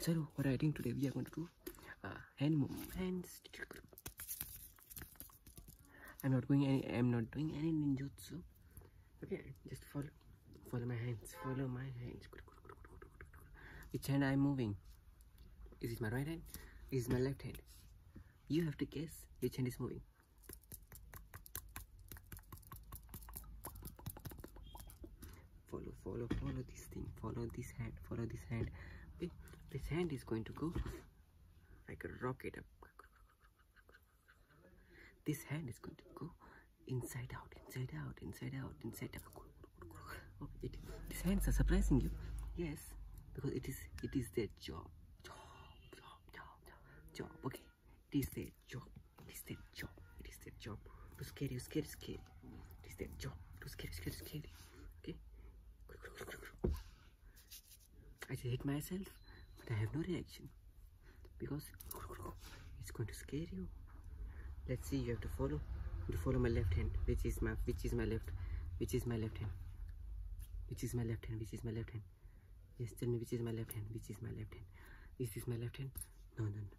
So what I think today we are going to do uh, hand movement. I'm not going any. I'm not doing any ninjutsu. Okay, just follow, follow my hands. Follow my hands. Which hand I'm moving? Is it my right hand? Is it my left hand? You have to guess which hand is moving follow follow follow this thing follow this hand follow this hand this hand is going to go like a rocket up this hand is going to go inside out inside out inside out inside out This it, these hands are surprising you yes because it is it is their job job job job job, job. okay it is their job Listen, jump, listen, jump. Too scary, scary, scary. Listen, jump. Too scary, scary, scary. Okay? I just hit myself, but I have no reaction because it's going to scare you. Let's see. You have to follow. You have to follow my left hand, which is my, which is my left, which is my left hand, which is my left hand, which is my left hand. Yes, tell me which is my left hand, which is my left hand. Is this my left hand? No, no, no.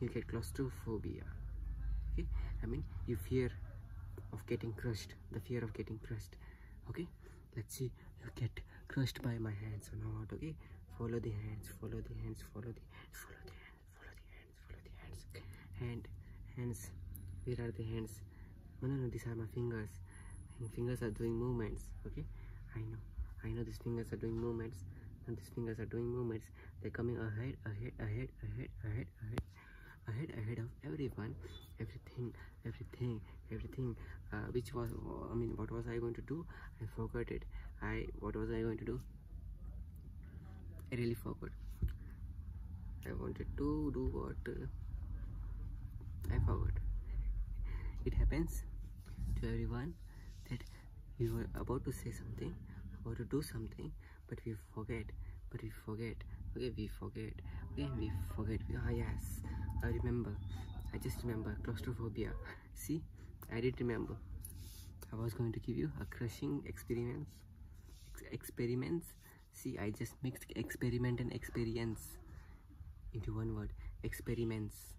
you get claustrophobia okay i mean you fear of getting crushed the fear of getting crushed okay let's see you get crushed by my hands or not okay follow the hands follow the hands follow the follow the hands follow the hands follow the hands hand hands where are the hands no no no these are my fingers my fingers are doing movements okay i know i know these fingers are doing movements and these fingers are doing movements they're coming ahead ahead ahead ahead ahead ahead ahead ahead of everyone everything everything everything uh, which was i mean what was i going to do i forgot it i what was i going to do i really forgot i wanted to do what uh, i forgot it happens to everyone that we were about to say something about to do something but we forget but we forget okay we forget okay we forget ah yes i remember i just remember claustrophobia see i did remember i was going to give you a crushing experience experiments see i just mixed experiment and experience into one word experiments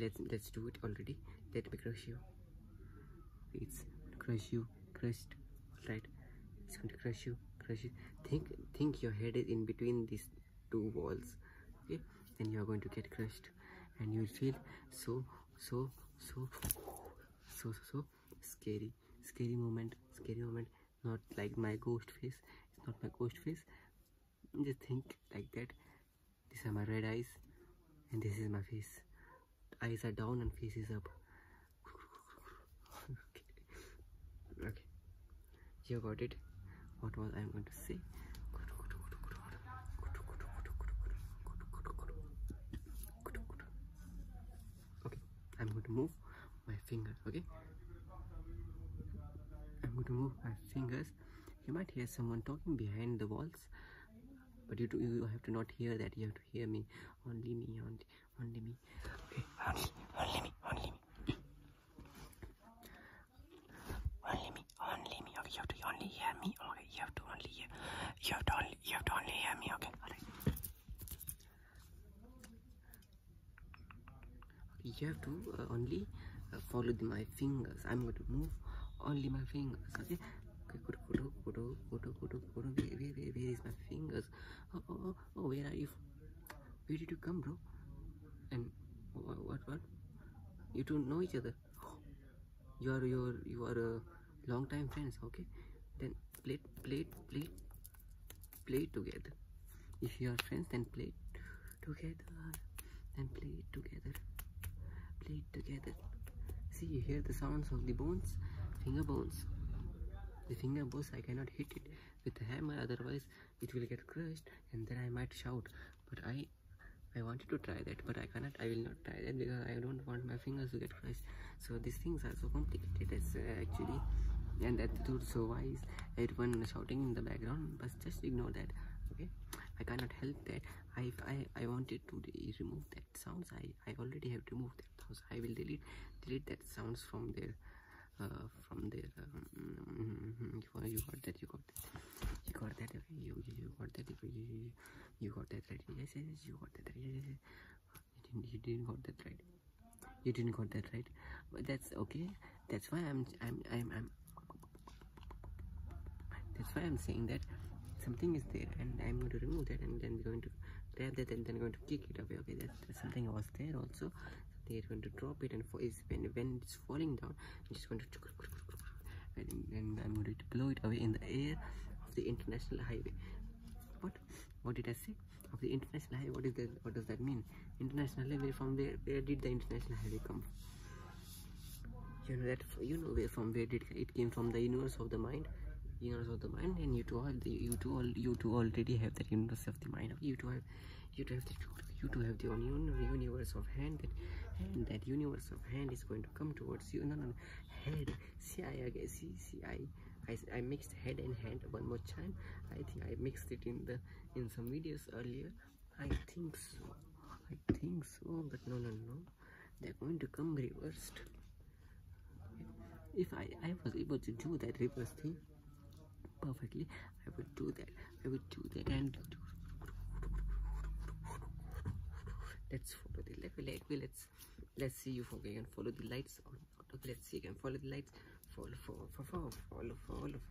let's let's do it already let me crush you it's crush you crushed all right it's going to crush you crush you think think your head is in between these two walls okay then you're going to get crushed and you'll feel so so so so so, so scary scary moment scary moment not like my ghost face it's not my ghost face just think like that these are my red eyes and this is my face. Eyes are down and face is up. okay. You got it. What was I going to say? Okay, I'm going to move my fingers. okay? I'm going to move my fingers. You might hear someone talking behind the wall calls but you, do, you have to not hear that you have to hear me only me only, only me okay only, only me only me only me only me okay you have to only hear me okay you have to only hear you have to only you have to only hear me okay all right okay, you have to uh, only uh, follow the, my fingers. I'm going to move only my fingers. Okay. Okay, good, good, good, good, good, good. Where, where, where is my fingers? Oh, oh, oh, oh, where are you? Where did you come, bro? And what, what, what? You don't know each other. You are your, you are a long time friends. Okay, then play, play, play, play together. If you are friends, then play together and play it together play it together see you hear the sounds of the bones finger bones the finger bones i cannot hit it with a hammer otherwise it will get crushed and then i might shout but i i wanted to try that but i cannot i will not try that because i don't want my fingers to get crushed so these things are so complicated as uh, actually and attitude so wise everyone shouting in the background but just ignore that okay i cannot help that I, I, I wanted to remove that sounds I, I already have removed that sounds I will delete delete that sounds from there uh, from there um, you got that you got that you got that you, you got that you, you got that right yes yes you got that right You, didn't, you didn't got that right you didn't got that right but that's okay that's why I'm I'm I'm, I'm that's why I'm saying that something is there and I'm going to remove that and then going to grab that and then going to kick it away. Okay, that's, something was there also. They're going to drop it and when when it's falling down, I'm just going to and, I'm going to blow it away in the air of the international highway. What what did I say? Of the international highway, what is that what does that mean? International highway from where where did the international highway come you know that you know where from where did it came from the universe of the mind universe of the mind and you two have the you two all you two already have that universe of the mind you two have you two have the you two have the universe of hand that hand that universe of hand is going to come towards you And no, no. head see i again see see i I, I mixed head and hand one more time i think i mixed it in the in some videos earlier I think so. I think so, but no, no, no. They're going to come reversed. If I, I was able to do that reverse thing perfectly, I would do that. I would do that and Let's follow the level light. Okay, let's let's see you can follow the lights. Okay, let's see. You can follow the lights. Follow, follow, follow, follow, follow,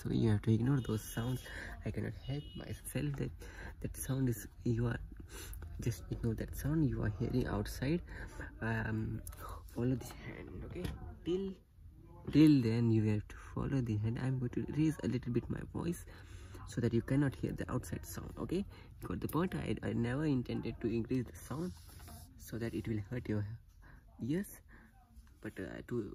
so you have to ignore those sounds i cannot help myself that that sound is you are just ignore that sound you are hearing outside um, follow this hand okay till till then you have to follow the hand i'm going to raise a little bit my voice so that you cannot hear the outside sound okay you got the point I, I never intended to increase the sound so that it will hurt your ears but I uh, do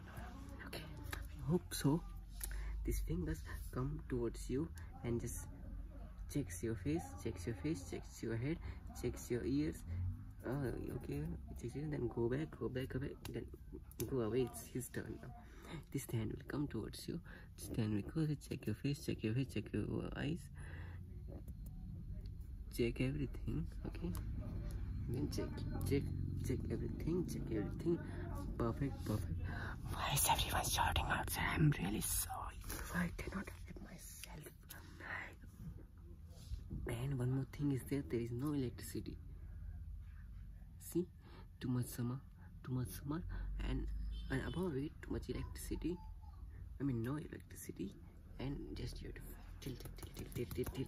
okay i hope so these fingers come towards you and just checks your face checks your face checks your head checks your ears oh okay checks you then go back go back away then go away it's his turn now this hand will come towards you this hand will go check your face check your face check your eyes check everything everything okay then check check check everything check everything perfect perfect why is everyone shouting outside i'm really sorry i cannot help myself and one more thing is there there is no electricity see too much summer too much summer and and above it too much electricity i mean no electricity and just you have to tilt tilt tilt tilt tilt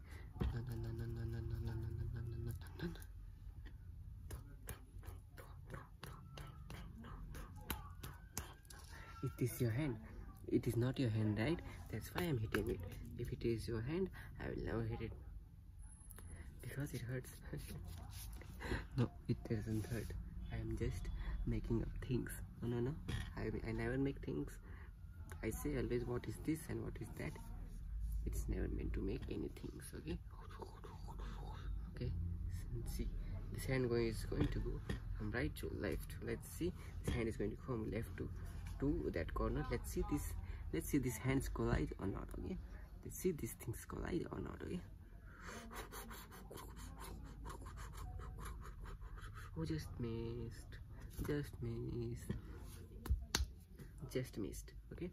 thing. Is this your hand? It is not your hand, right? That's why I'm hitting it. If it is your hand, I will never hit it. Because it hurts. no, it doesn't hurt. I am just making up things. No, no, no. I, I never make things. I say always what is this and what is that it's never meant to make anything okay okay see this hand going is going to go from right to left let's see this hand is going to come left to to that corner let's see this let's see this hands collide or not okay let's see these things collide or not okay oh just missed just missed just missed okay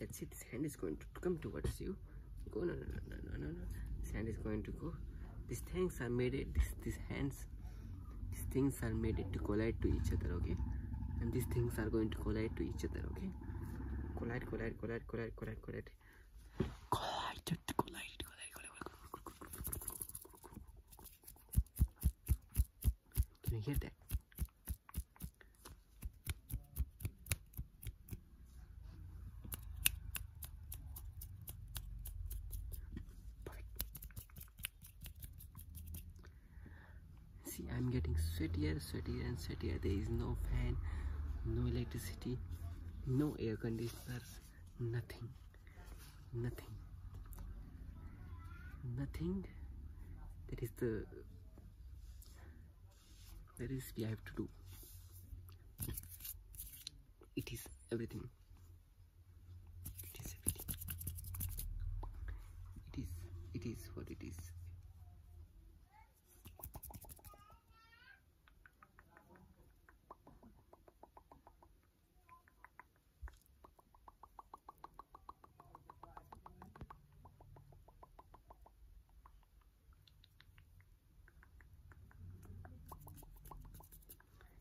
let's see this hand is going to come towards you go no no no no no no this hand is going to go these things are made it this, these hands these things are made it to collide to each other okay and these things are going to collide to each other okay collide collide collide collide collide collide collide collide collide collide collide can you hear that? See, I'm getting sweatier, sweatier, and sweatier. There is no fan, no electricity, no air conditioners, nothing nothing nothing There is the that is we have to do it is everything it is everything it is it is what it is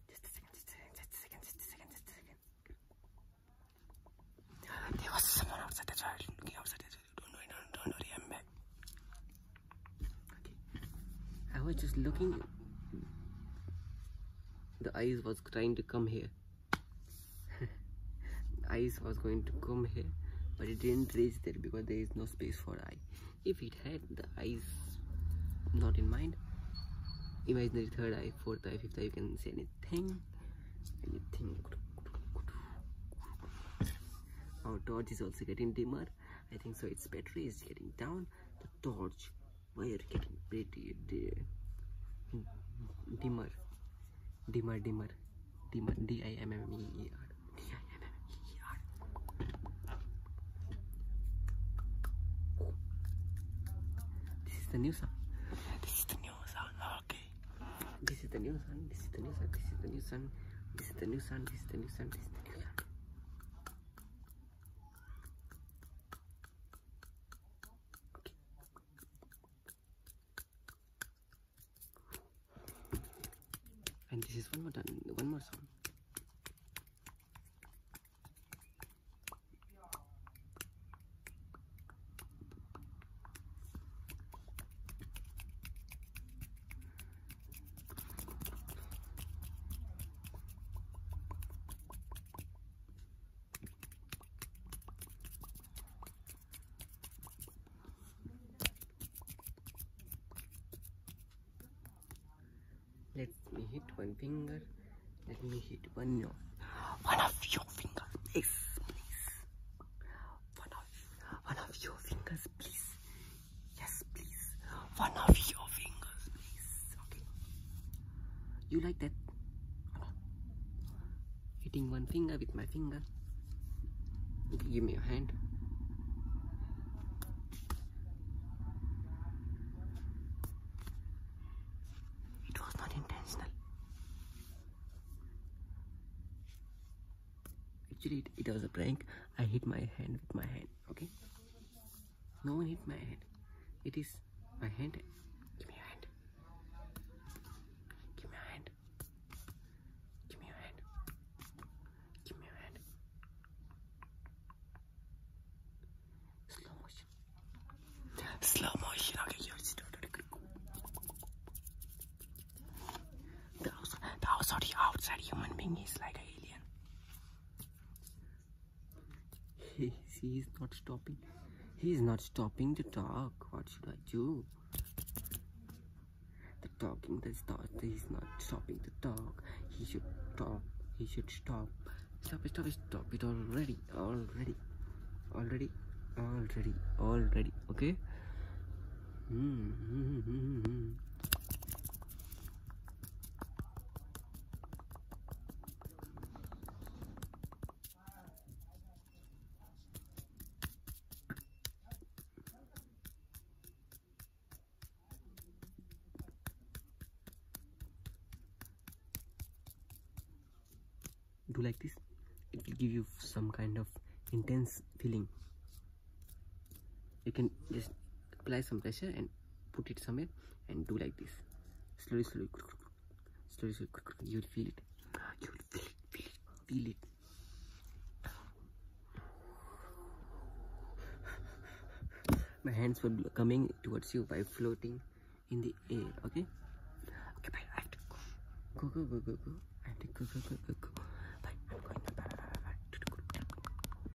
just a second, just a second, just a second, just a second, just was someone outside the child looking not worry, do I was just looking. The eyes was trying to come here Eyes was going to come here but it didn't reach there because there is no space for eye if it had the eyes not in mind imaginary third eye fourth eye fifth eye you can see anything anything our torch is also getting dimmer i think so its battery is getting down the torch Mayerkin, pretty dear. Dimmer, dimmer, dimmer, dimmer, D I M M E E R. This is the new song. This is the new song. Okay. This is the new song. This is the new song. This is the new song. This is the new song. This is the new song. This is the new song and this is one more done one more song. Let me hit one finger. Let me hit one your one of your fingers, please, please. One of one of your fingers, please. Yes, please one of your fingers, please. Okay. You like that? Hitting one finger with my finger. give me your hand. It was not intentional. Actually, it was a prank. I hit my hand with my hand. Okay. No one hit my head. It is my hand. Give me your hand. Give me your hand. Give me your hand. Give me your hand. Slow motion. Slow motion. Okay, you the outside, the outside human being is like an alien. He's not stopping. He's not stopping to talk. What should I do? The talking, the start. He's not stopping to talk. He should talk. He should stop. Stop it, stop it, stop it already. Already. Already. Already. Already. Okay? Hmm, hmm, hmm, do like this it will give you some kind of intense feeling you can just apply some pressure and put it somewhere and do like this slowly slowly slowly, slowly you will feel it you will feel it feel it, feel it. my hands were coming towards you by floating in the air okay okay bye i have to go go go go go go i have to go go go go, go. bye i'm going to bye, bye, bye, bye.